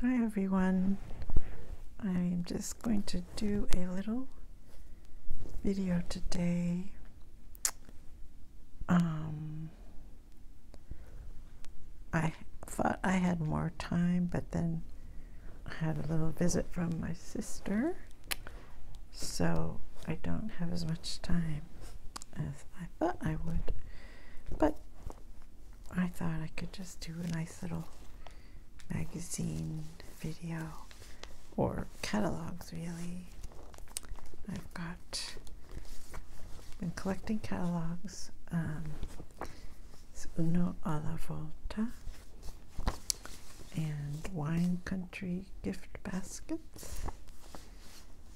Hi everyone. I'm just going to do a little video today um, I thought I had more time but then I had a little visit from my sister so I don't have as much time as I thought I would but I thought I could just do a nice little magazine video or catalogs really. I've got been collecting catalogs. Um, it's Uno Volta and Wine Country Gift Baskets,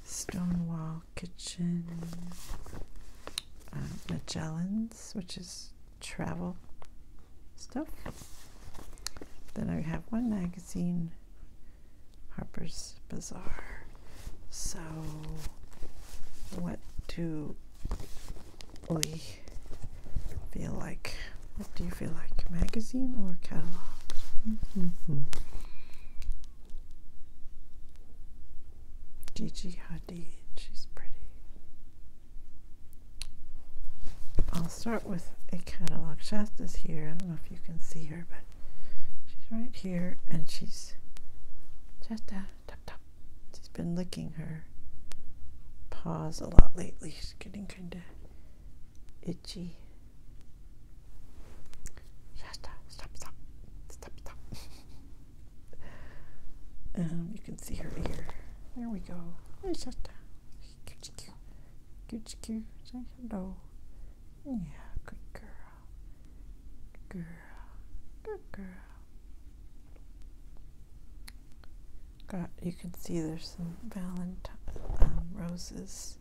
Stonewall Kitchen, uh, Magellan's, which is travel stuff. Then I have one magazine, Harper's Bazaar. So, what do we feel like? do you feel like, magazine or catalog? Mm -hmm. She's pretty. I'll start with a catalog. Shasta's here. I don't know if you can see her, but she's right here, and she's Shasta. Uh, tap tap. She's been licking her paws a lot lately. She's getting kind of itchy. Shasta, stop, stop, stop, stop. Um, you can see her ear. There we go. It's just a good cute. Say hello. Yeah, good girl. Good girl. Good girl. Got you can see there's some valentine um, roses.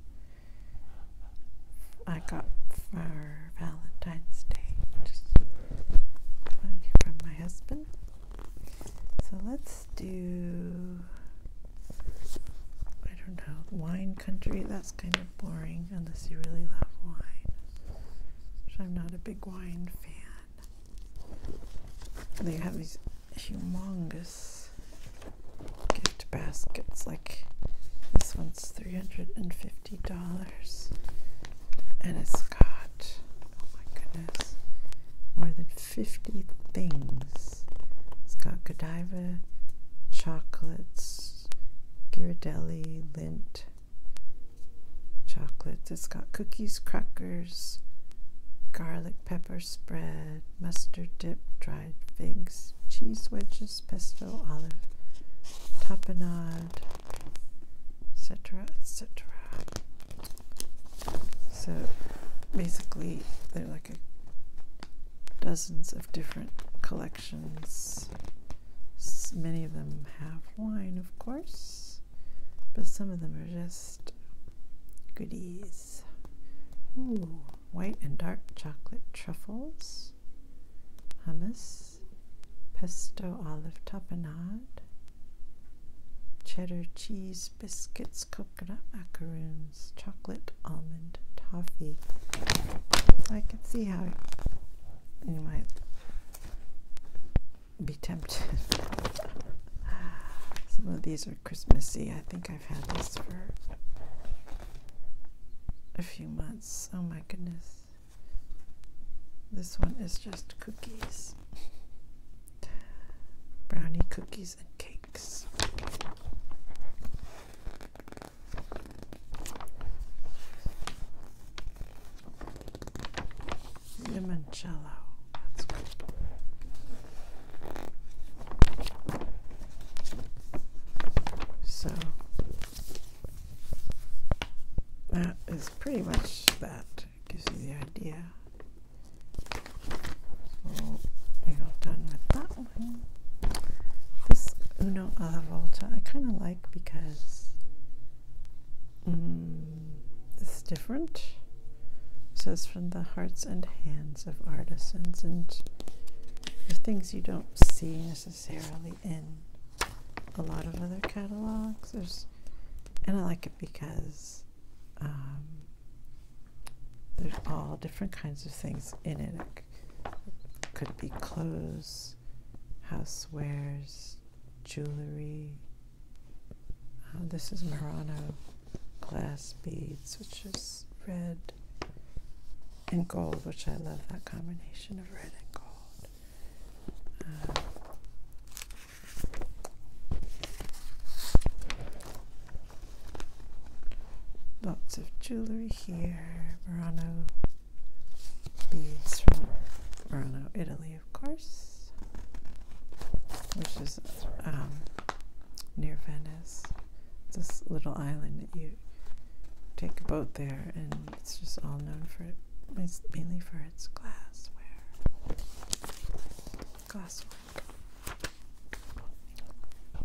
I got flowers Valentine's Day. Just from my husband. So let's do, I don't know, wine country. That's kind of boring unless you really love wine, which I'm not a big wine fan. They have these humongous gift baskets like this one's $350 and it's got oh my goodness, more than fifty things. It's got Godiva, chocolates, Ghirardelli, lint, chocolates. It's got cookies, crackers, garlic pepper spread, mustard dip, dried figs, cheese wedges, pesto, olive tapenade and etc etc so basically they're like dozens of different collections many of them have wine of course but some of them are just goodies Ooh, white and dark chocolate truffles hummus, pesto olive tapenade, cheddar cheese biscuits, coconut macaroons, chocolate almond toffee. I can see how you might be tempted. Some of these are Christmassy. I think I've had this for a few months. Oh my goodness. This one is just cookies. Brownie cookies and cakes. Limoncello. So that is pretty much that. Gives you the idea. we're all done with that one. This Uno alla Volta I kind of like because mm, it's different. It says from the hearts and hands of artisans and the things you don't see necessarily in a lot of other catalogs. There's, and I like it because um, there's all different kinds of things in it. It could be clothes, housewares, jewelry. Uh, this is Murano glass beads, which is red and gold, which I love that combination of red and gold. Uh, lots of jewelry here, Murano beads from Murano, Italy, of course, which is um, near Venice. This little island that you take a boat there and it's just all known for it, mainly for its glassware, Glassware.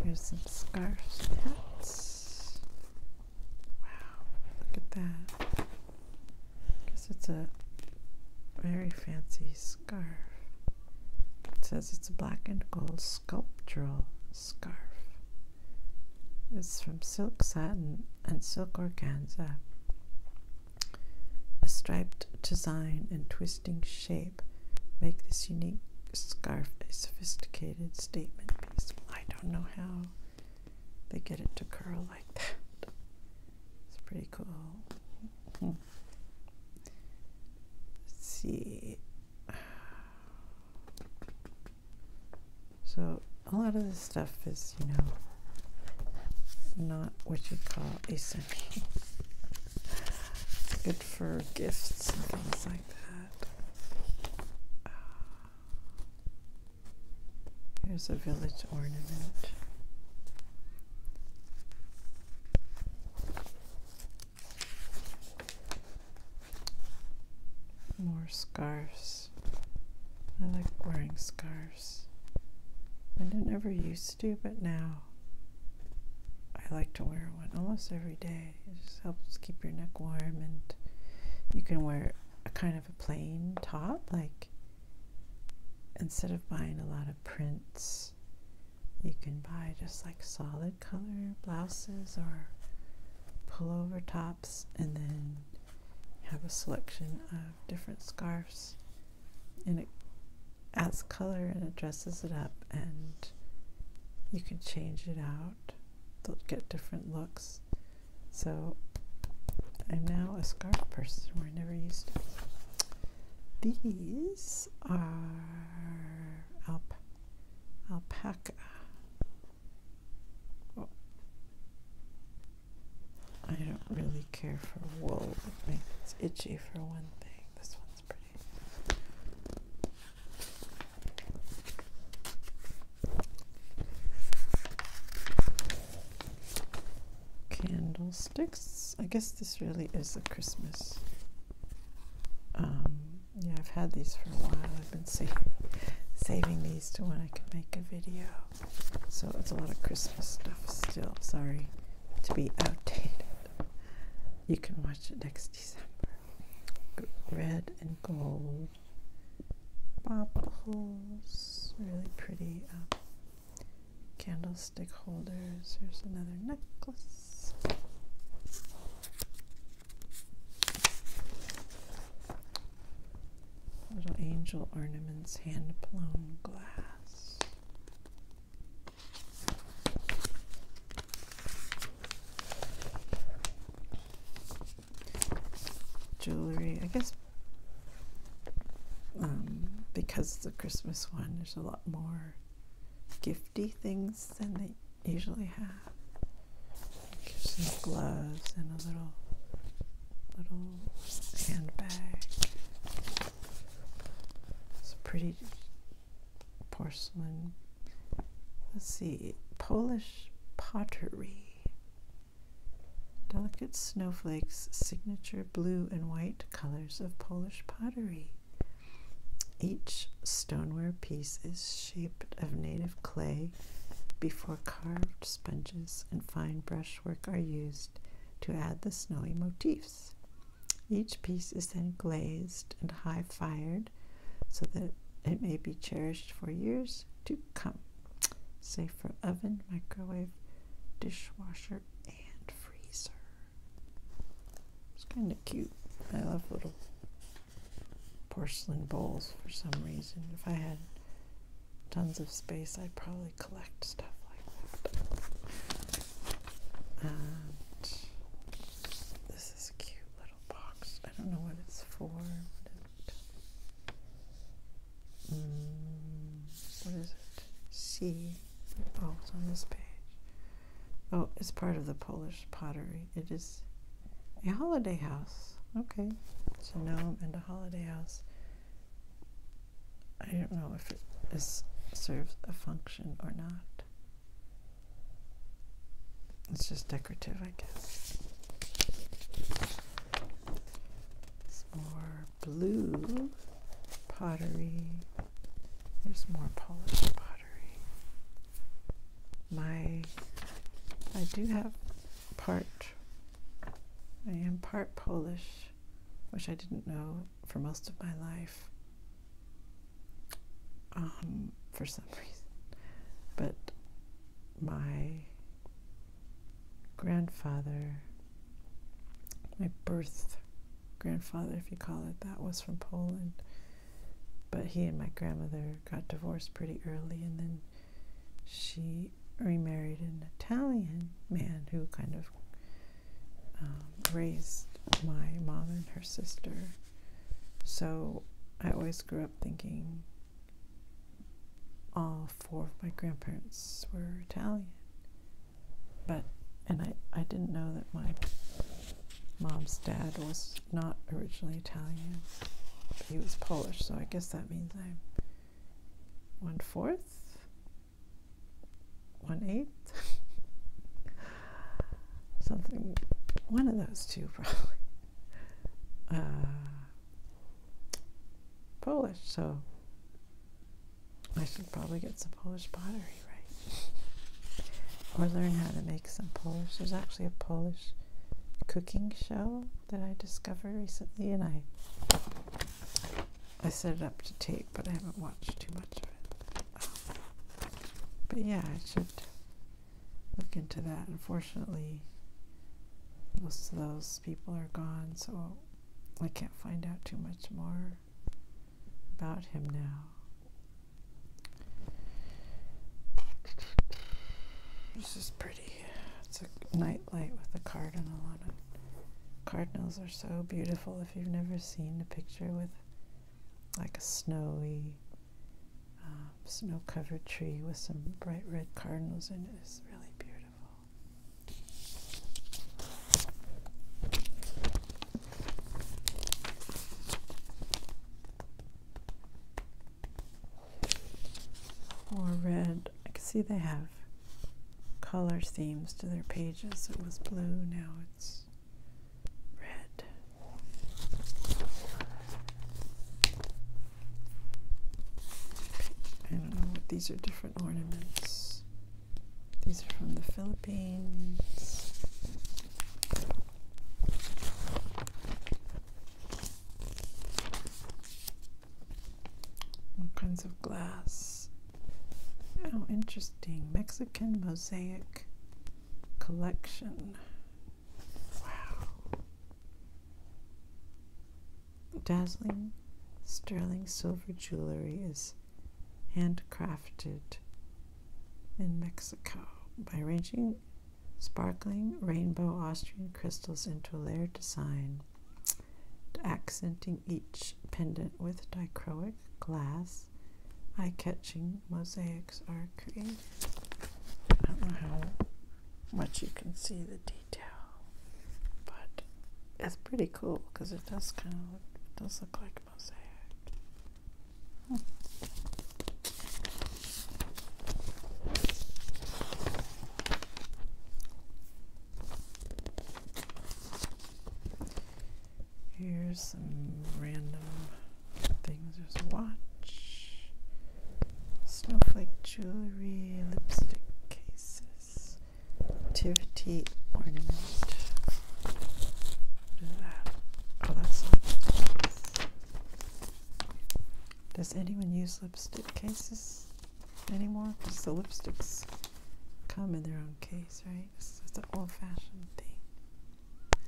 Here's some scarves, hats. Wow, look at that. it's a very fancy scarf. It says it's a black and gold sculptural scarf. It's from Silk Satin and Silk Organza. A striped design and twisting shape make this unique scarf a sophisticated statement piece. I don't know how they get it to curl like that. It's pretty cool. Let's see. So a lot of this stuff is, you know, not what you'd call essential. it's good for gifts and things like that. here's a village ornament. More scarves. I like wearing scarves. I didn't ever used to, but now I like to wear one almost every day. It just helps keep your neck warm, and you can wear a kind of a plain top, like instead of buying a lot of prints, you can buy just like solid color blouses or pullover tops and then have a selection of different scarves and it adds color and it dresses it up and you can change it out they'll get different looks so I'm now a scarf person where I never used to these are alp alpaca I don't really care for wool. It makes it's itchy for one thing. This one's pretty. Candlesticks. I guess this really is a Christmas. Um, yeah, I've had these for a while. I've been saving these to when I can make a video. So it's a lot of Christmas stuff still. Sorry to be outdated. You can watch it next December. red and gold bobbles, really pretty um, candlestick holders. Here's another necklace. Little angel ornaments, hand blown glass. Jewelry, I guess um, because the Christmas one, there's a lot more gifty things than they usually have. Give some gloves and a little little handbag. It's pretty porcelain. Let's see, Polish pottery. Delicate snowflakes, signature blue and white colors of Polish pottery. Each stoneware piece is shaped of native clay before carved sponges and fine brushwork are used to add the snowy motifs. Each piece is then glazed and high fired so that it may be cherished for years to come. Safe for oven, microwave, dishwasher, and freezer. It's kind of cute. I love little porcelain bowls for some reason. If I had tons of space, I'd probably collect stuff like that. this is a cute little box. I don't know what it's for. Mm, what is it? C. Oh, it's on this page. Oh, it's part of the Polish pottery. It is a holiday house. Okay. So now I'm in the holiday house. I don't know if it serves a function or not. It's just decorative, I guess. more blue pottery. There's more polished pottery my I do have part I am part Polish, which I didn't know for most of my life. Um, for some reason. But my grandfather, my birth grandfather, if you call it that, was from Poland. But he and my grandmother got divorced pretty early, and then she remarried an Italian man who kind of um, raised my mom and her sister. So I always grew up thinking all four of my grandparents were Italian. But, and I, I didn't know that my mom's dad was not originally Italian. He was Polish, so I guess that that means I'm one fourth, one eighth, something, one of those two probably. Uh, Polish, so I should probably get some Polish pottery, right? Or learn how to make some Polish. There's actually a Polish cooking show that I discovered recently, and I I set it up to tape, but I haven't watched too much of it. but yeah, I should look into that. Unfortunately, most of those people are gone, so I can't find out too much more about him now. This is pretty. It's a night light with a cardinal on it. Cardinals are so beautiful. If you've never seen a picture with like a snowy, uh, snow covered tree with some bright red cardinals in it, it's really beautiful. Or red. I can see they have color themes to their pages. It was blue, now it's red. I don't know what these are different ornaments. These are from the Philippines kinds of glass? Oh, interesting. Mexican mosaic collection. Wow. Dazzling sterling silver jewelry is handcrafted in Mexico by ranging sparkling rainbow Austrian crystals into a layered design, accenting each pendant with dichroic glass. Eye catching mosaics are created. I don't know how much you can see the detail, but it's pretty cool because it does kind of look, does look like mosaic. Hmm. Here's some random things. watch, snowflake jewelry, lipstick cases, Tivity ornament. What is that? Oh, that's not. Does anyone use lipstick cases anymore because the lipsticks come in their own case, right? It's an old fashioned thing.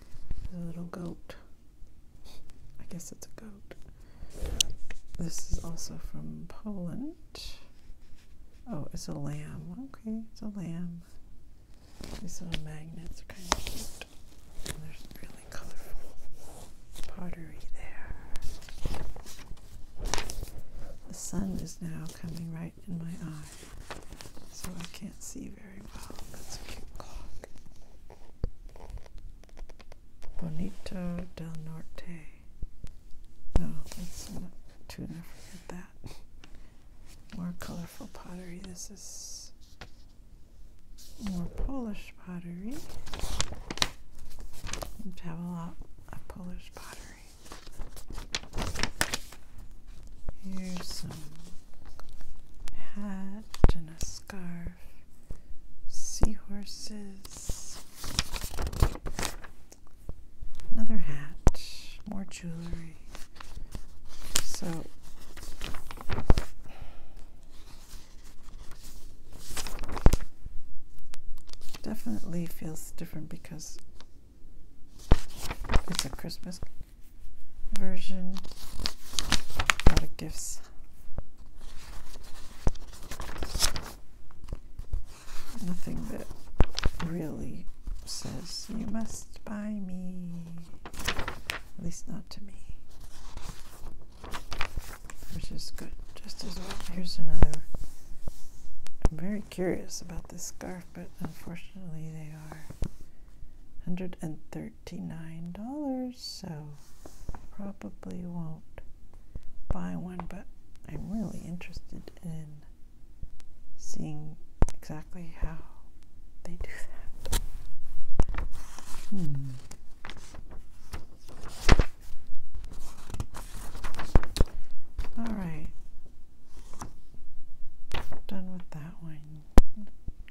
There's a little goat. I guess it's a goat. This is also from Poland. Oh, it's a lamb. Okay, it's a lamb. These little magnets are kind of cute there's really colorful pottery there. The sun is now coming right in my eye, so I can't see very well. That's a cute clock. Bonito del Norte. No, it's not tuna. Forget that. More colorful pottery. This is more Polish pottery. Seem have a lot of Polish pottery. Here's some hat and a scarf, seahorses, another hat, more jewelry. So Definitely feels different because it's a Christmas version. A lot of gifts. Nothing that really says, you must buy me. At least not to me which is good just as well. Here's another. I'm very curious about this scarf, but unfortunately they are $139, so probably won't buy one, but I'm really interested in seeing exactly how they do that. Hmm. All right. Done with that one.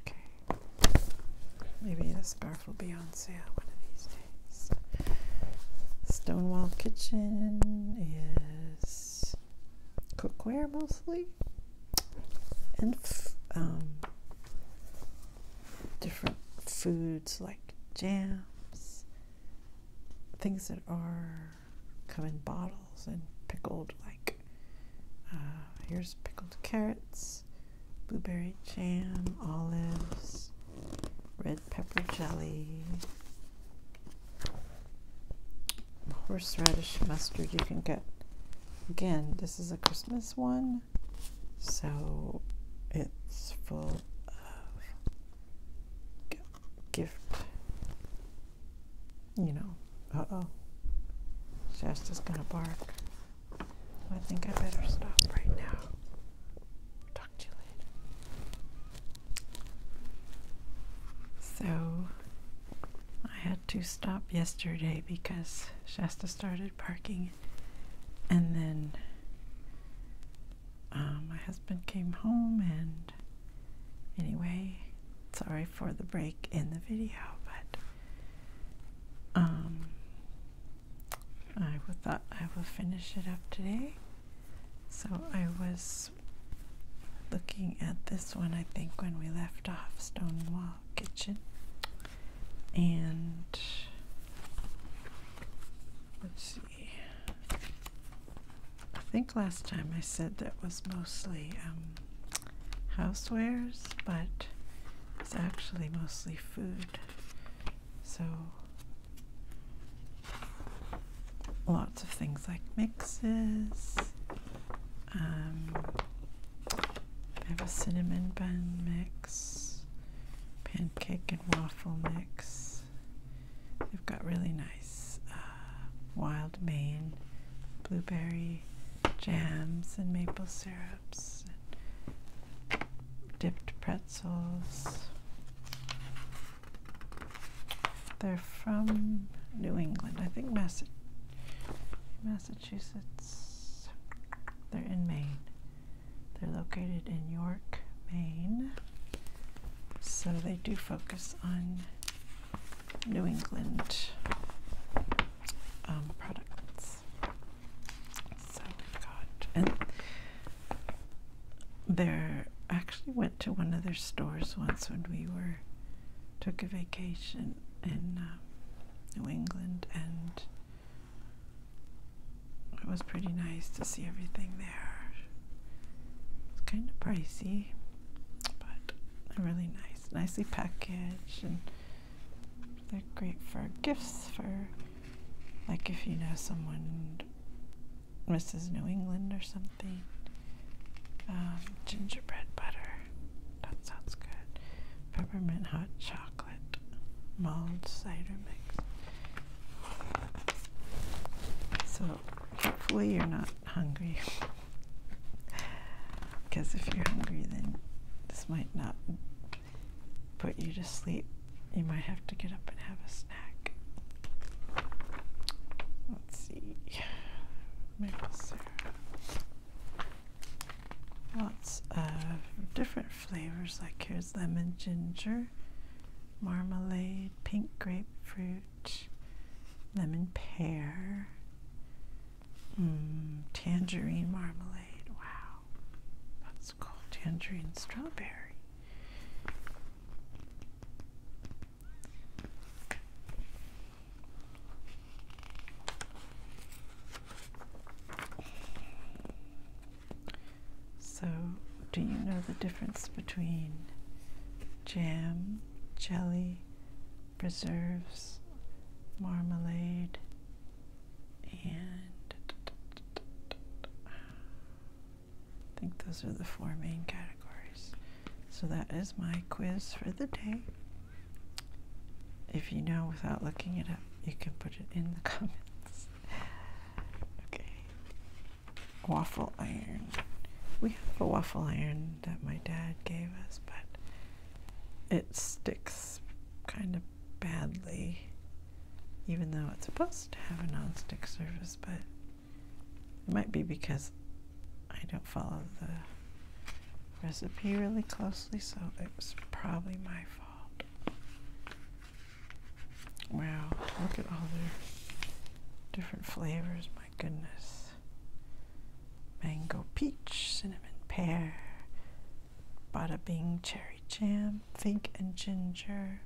Okay. Maybe the scarf will be on sale one of these days. Stonewall Kitchen is cookware mostly and um, different foods like jams, things that are come in bottles and pickled, like uh, here's pickled carrots, blueberry jam, olives, red pepper jelly. Horseradish mustard you can get. Again, this is a Christmas one. So it's full of gift. You know, uh oh. Shasta's gonna bark. I think I better stop right now. Talk to you later. So I had to stop yesterday because Shasta started parking. And then uh, my husband came home, and anyway, sorry for the break in the video, but um, I would thought I would finish it up today. So I was looking at this one, I think, when we left off Stonewall Kitchen and let's see. I think last time I said that was mostly um, housewares, but it's actually mostly food. So lots of things like mixes, um, I have a cinnamon bun mix, pancake and waffle mix. They've got really nice uh, wild Maine blueberry jams and maple syrups, and dipped pretzels. They're from New England, I think Massa Massachusetts. They're in Maine. They're located in York, Maine. So they do focus on New England um, products. So we've got, and there actually went to one of their stores once when we were took a vacation in uh, New England and it was pretty nice to see everything there. It's kind of pricey, but really nice, nicely packaged, and they're great for gifts. For like if you know someone Mrs. New England or something, um, gingerbread butter. That sounds good peppermint hot chocolate mulled cider mix. So hopefully you're not hungry. Because if you're hungry, then this might not put you to sleep. You might have to get up and have a snack. Let's see. Maple syrup. Lots of different flavors like here's lemon ginger, marmalade, pink grapefruit, lemon pear, mm, tangerine marmalade. Wow, that's called Tangerine strawberry. So, do you know the difference between jam, jelly, preserves, marmalade, and I think those are the four main categories. So, that is my quiz for the day. If you know without looking it up, you can put it in the comments. Okay. Waffle iron. We have a waffle iron that my dad gave us, but it sticks kind of badly, even though it's supposed to have a non-stick surface, but it might be because I don't follow the recipe really closely, so it was probably my fault. Wow, look at all the different flavors, my goodness. Mango peach, cinnamon pear, bada bing cherry jam, fig and ginger,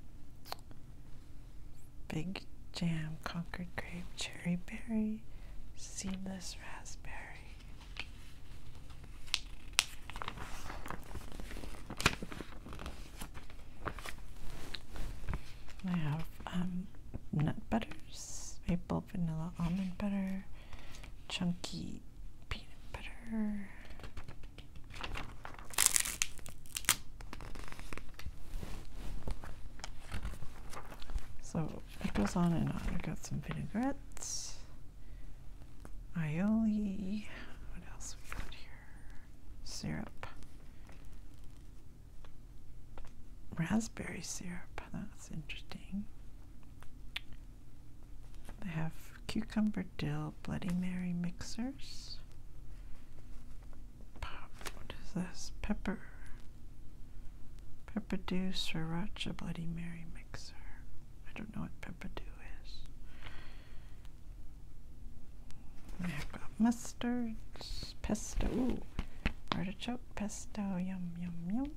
big jam, concord grape, cherry berry, seedless raspberry, I have um, nut butters, maple, vanilla, almond butter, chunky peanut butter. So it goes on and on. I got some vinaigrettes aioli. What else we got here? Syrup. Raspberry syrup. That's interesting. They have cucumber dill Bloody Mary mixers. What is this? Pepper. Pepper dew sriracha Bloody Mary mixer. I don't know what pepperdew is. I've got mustards, pesto, artichoke pesto, yum, yum, yum.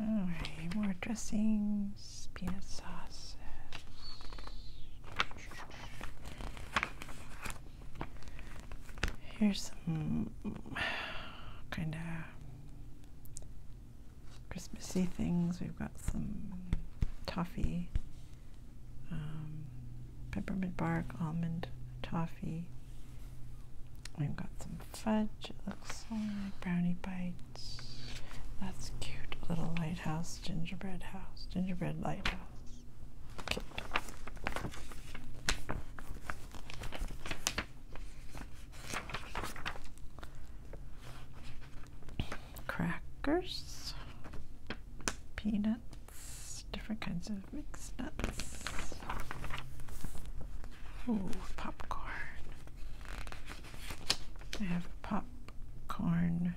Alright, more dressings, peanut sauces. Here's some kind of Christmassy things. We've got some toffee, um, peppermint bark, almond toffee. We've got some fudge. It looks like brownie bites. That's cute. Little lighthouse, gingerbread house, gingerbread lighthouse. Crackers, peanuts, different kinds of mixed nuts. Ooh, popcorn. I have popcorn.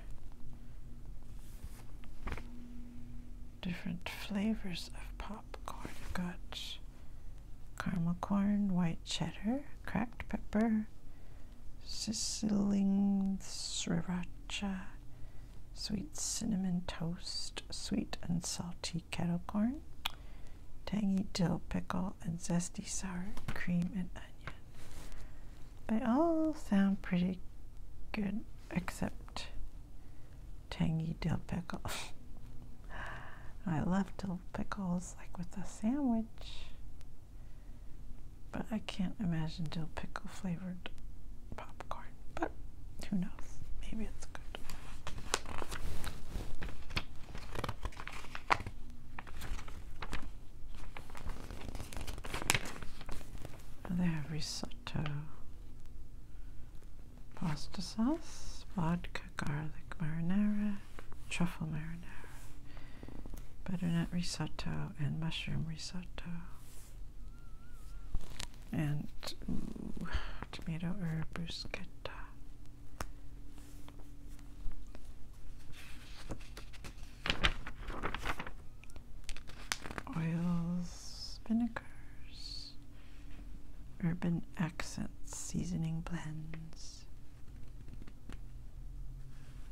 Different flavors of popcorn. i got caramel corn, white cheddar, cracked pepper, sizzling sriracha, sweet cinnamon toast, sweet and salty kettle corn, tangy dill pickle, and zesty sour cream and onion. They all sound pretty good, except tangy dill pickle. I love dill pickles like with a sandwich, but I can't imagine dill pickle flavored popcorn. But who knows? Maybe it's good. They have risotto pasta sauce, vodka, garlic marinara, truffle marinara, butternut risotto, and mushroom risotto, and tomato herb bruschetta. Oils, vinegars, Urban Accents Seasoning Blends,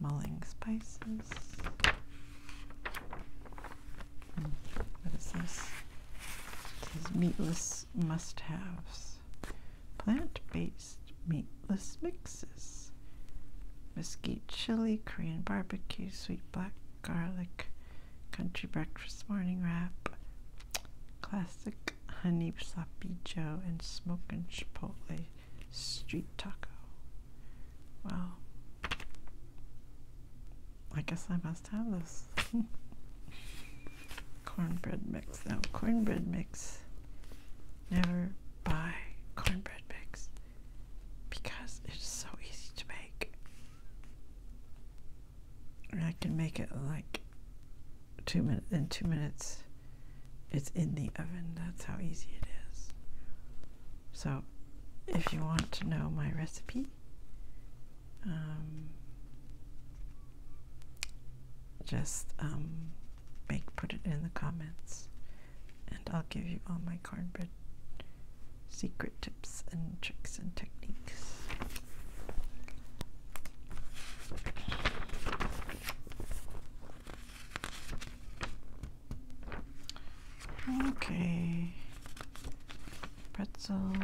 Mulling Spices. Mm, what is this? It says meatless must haves. Plant based meatless mixes. Mesquite chili, Korean barbecue, sweet black garlic, Country Breakfast Morning Wrap, Classic Honey Sloppy Joe, and Smokin' Chipotle Street Taco. Well, I guess I must have this. cornbread mix. No cornbread mix. Never buy cornbread mix because it's so easy to make and I can make it like two minutes in two minutes it's in the oven that's how easy it is so if you want to know my recipe um, just um, make put it in the comments and I'll give you all my cornbread secret tips and tricks and techniques. Okay, pretzels.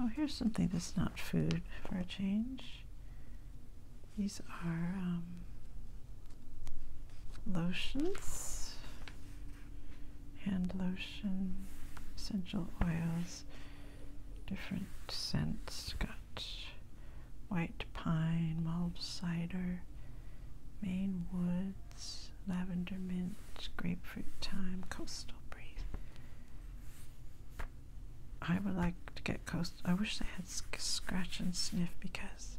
Oh, here's something that's not food for a change. These are um, lotions, hand lotions essential oils, different scents. Got white pine, mulled cider, Maine woods, lavender mint, grapefruit thyme, coastal breeze. I would like to get coast. I wish they had scratch and sniff because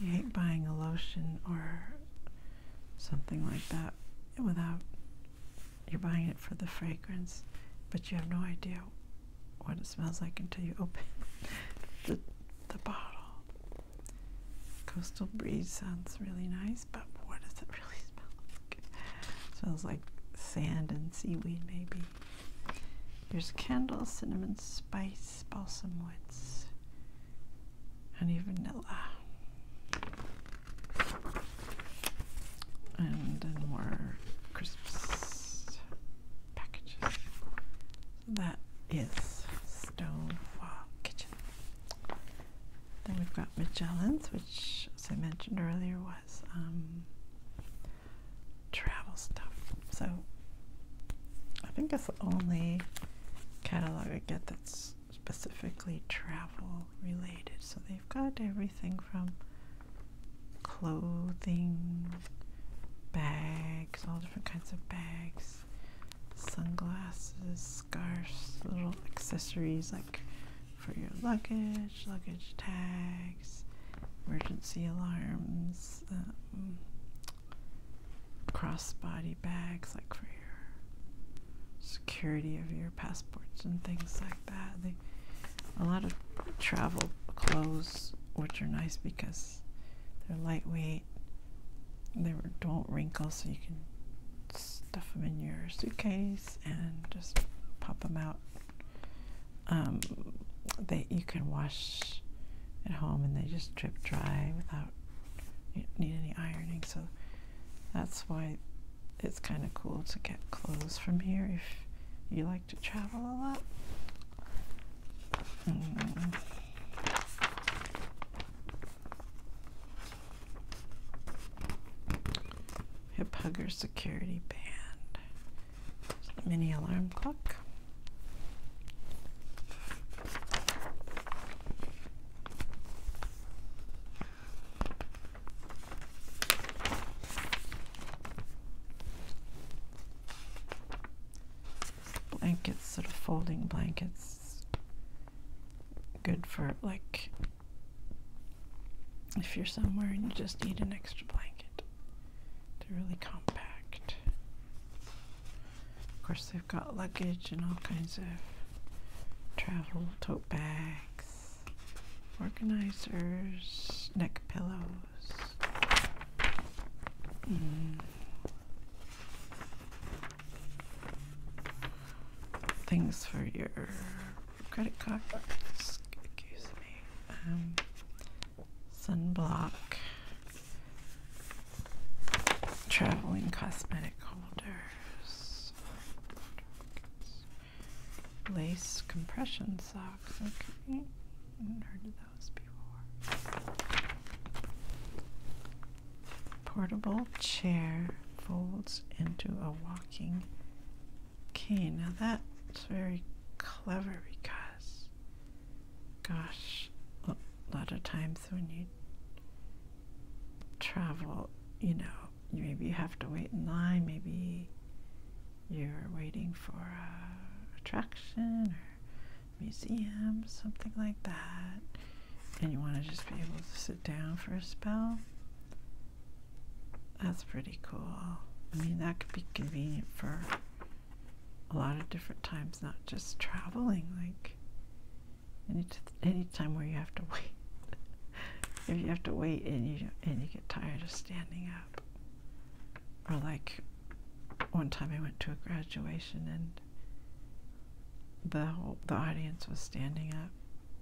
you hate buying a lotion or something like that without you're buying it for the fragrance, but you have no idea what it smells like until you open the, the bottle. Coastal breeze sounds really nice, but what does it really smell like? smells like sand and seaweed, maybe. There's candles, cinnamon, spice, balsam woods, honey vanilla. And then more crisps packages. So that is Stonewall Kitchen. Then we've got Magellan's, which, as I mentioned earlier, was um, travel stuff. So I think it's the only catalog I get that's specifically travel related. So they've got everything from clothing, bags, all different kinds of bags, sunglasses, scarves, little accessories like for your luggage, luggage tags, emergency alarms, um, crossbody bags like for your security of your passports and things like that. a lot of travel clothes, which are nice because they're lightweight, they don't wrinkle, so you can stuff them in your suitcase and just pop them out. Um, you can wash at home, and they just drip dry without you need any ironing. So that's why it's kind of cool to get clothes from here if you like to travel a lot. Hmm. Hip Hugger Security Band. Mini alarm clock blankets, sort of folding blankets. Good for like if you're somewhere and you just need an extra blanket. They're really compact. Of course, they've got luggage and all kinds of travel tote bags, organizers, neck pillows. Mm. Things for your credit card. excuse me, um, sunblock, traveling cosmetic holders, Lace compression socks. Okay. heard those before. Portable chair folds into a walking cane. Now that's very clever because, gosh, a lot of times when you travel, you know, maybe you have to wait in line, maybe you're waiting for a attraction or museum, something like that, and you want to just be able to sit down for a spell. That's pretty cool. I mean, that could be convenient for a lot of different times, not just traveling. Like, any time where you have to wait, if you have to wait and you and you get tired of standing up, or like one time I went to a graduation and the whole, the audience was standing up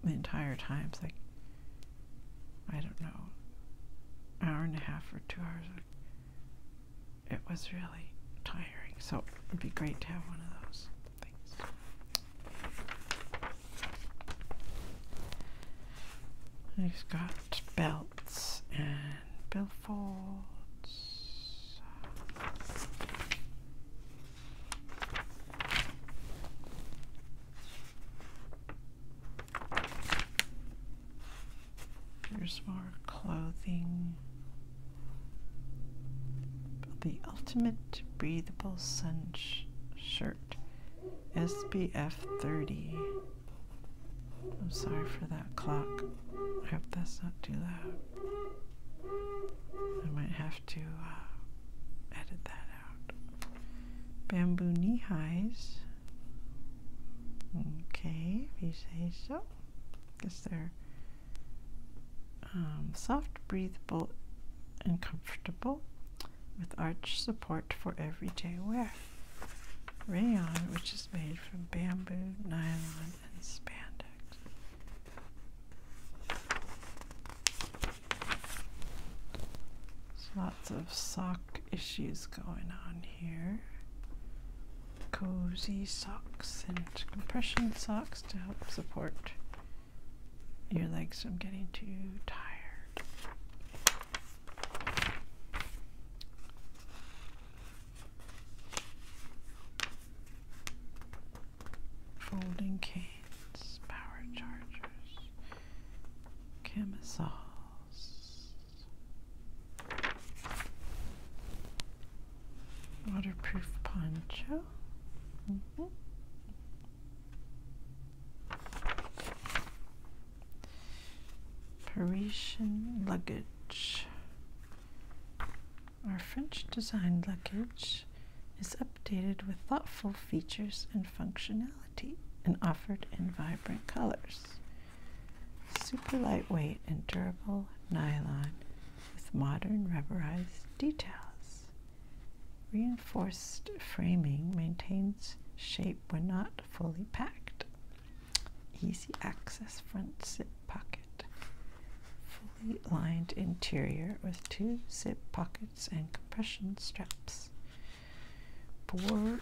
the entire time. It's like I don't know, hour and a half or two hours. It was really tiring. So it'd be great to have one of those. Thanks. He's got belts and billfolds. There's more clothing. The Ultimate Breathable Sun Shirt SBF 30. I'm sorry for that clock. I hope that's not too loud. I might have to uh, edit that out. Bamboo knee highs. Okay, if you say so. Guess they're um, soft, breathable, and comfortable with arch support for everyday wear. Rayon, which is made from bamboo, nylon, and spandex. So lots of sock issues going on here. Cozy socks and compression socks to help support your legs, are getting too tired. Folding cans, power chargers, camisoles. Waterproof poncho. Mm-hmm. Parisian luggage. Our French designed luggage is updated with thoughtful features and functionality and offered in vibrant colors. Super lightweight and durable nylon with modern rubberized details. Reinforced framing maintains shape when not fully packed. Easy access front zip pocket. Fully lined interior with two zip pockets and compression straps. Bore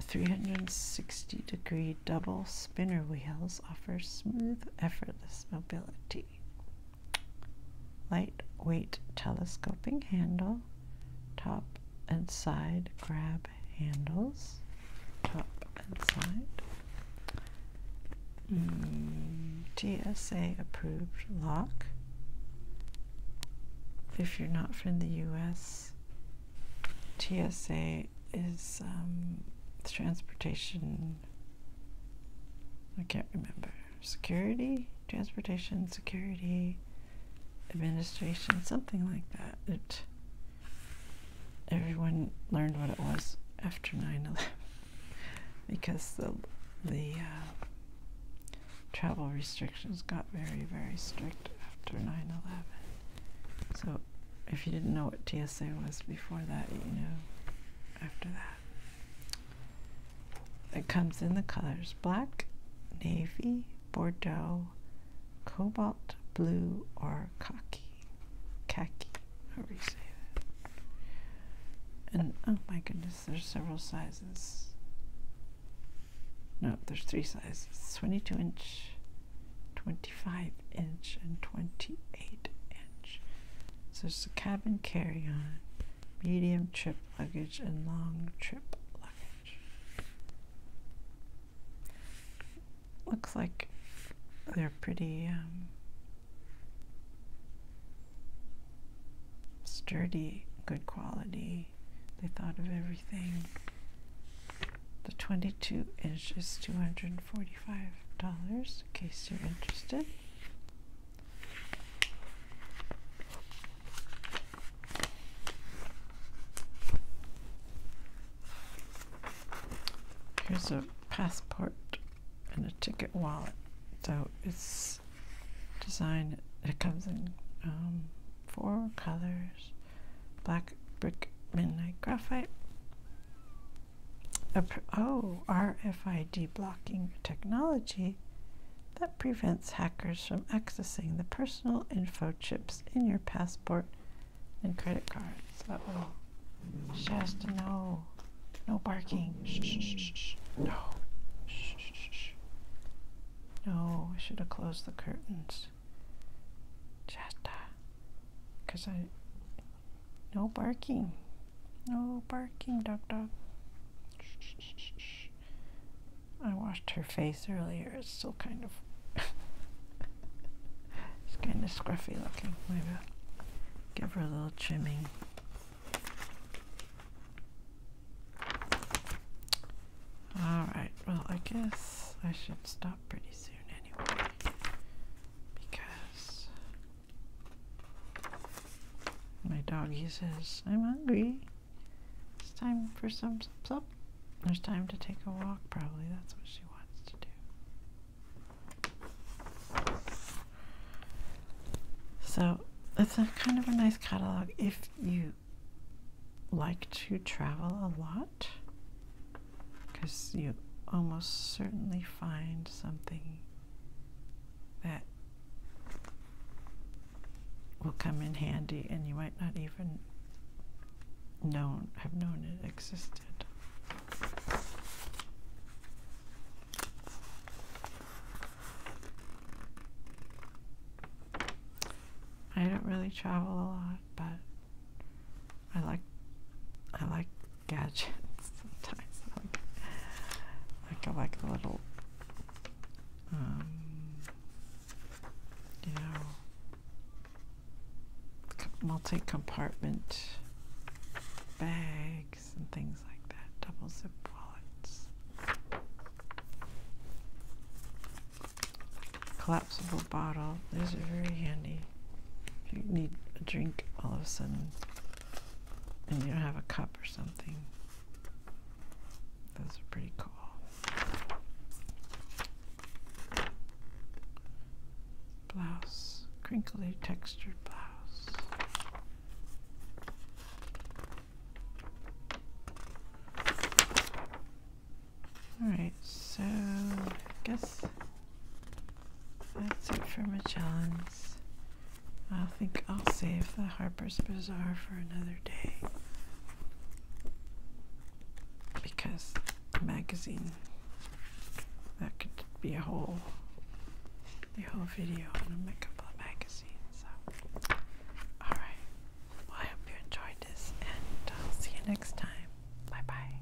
360 degree double spinner wheels offer smooth, effortless mobility lightweight telescoping handle, top and side grab handles, top and side. Mm, TSA approved lock. If you're not from the US, TSA is um, Transportation I can't remember. Security, transportation, security, administration, something like that. everyone learned what it was after 9-11 because the, the uh, travel restrictions got very, very strict after 9-11. So if you didn't know what TSA was before that, you know after that. It comes in the colors black, navy, bordeaux, cobalt blue, or khaki. Khaki, however you say that. And oh my goodness, there's several sizes. No, there's three sizes 22 inch, 25 inch, and 28 inch. So it's a cabin carry-on, medium trip luggage, and long trip luggage. Looks like they're pretty um, sturdy, good quality. They thought of everything. The 22 inch is $245 in case you're interested. Here's a passport and a ticket wallet. So it's designed, it comes in um, four colors black brick, midnight graphite, Oh, RFID blocking technology that prevents hackers from accessing the personal info chips in your passport and credit cards. So, oh. no. No barking. No. Shh, No, I should have closed the curtains. Shasta. Because I. No barking. No barking, duck dog. I washed her face earlier. It's still kind of. it's kind of scruffy looking. Maybe I'll give her a little trimming. Alright, well, I guess I should stop pretty soon anyway. Because my doggy says, I'm hungry. It's time for some sup. There's time to take a walk, probably. That's what she wants to do. So it's a kind of a nice catalog if you like to travel a lot because you almost certainly find something that will come in handy and you might not even know have known it existed. I don't really travel a lot, but I like I like gadgets sometimes. Like, I like a little, um, you know, multi compartment bags and things like that, double zip wallets, collapsible bottle. These are very handy. If you need a drink all of a sudden, and you don't have a cup or something. Those are pretty cool. Blouse, crinkly textured blouse. Alright, so I guess that's it for my Magellan's. I think I'll save the Harper's Bazaar for another day because magazine that could be a whole the whole video on a couple of magazines. So. All right. I hope you enjoyed this, and I'll uh, see you next time. Bye bye.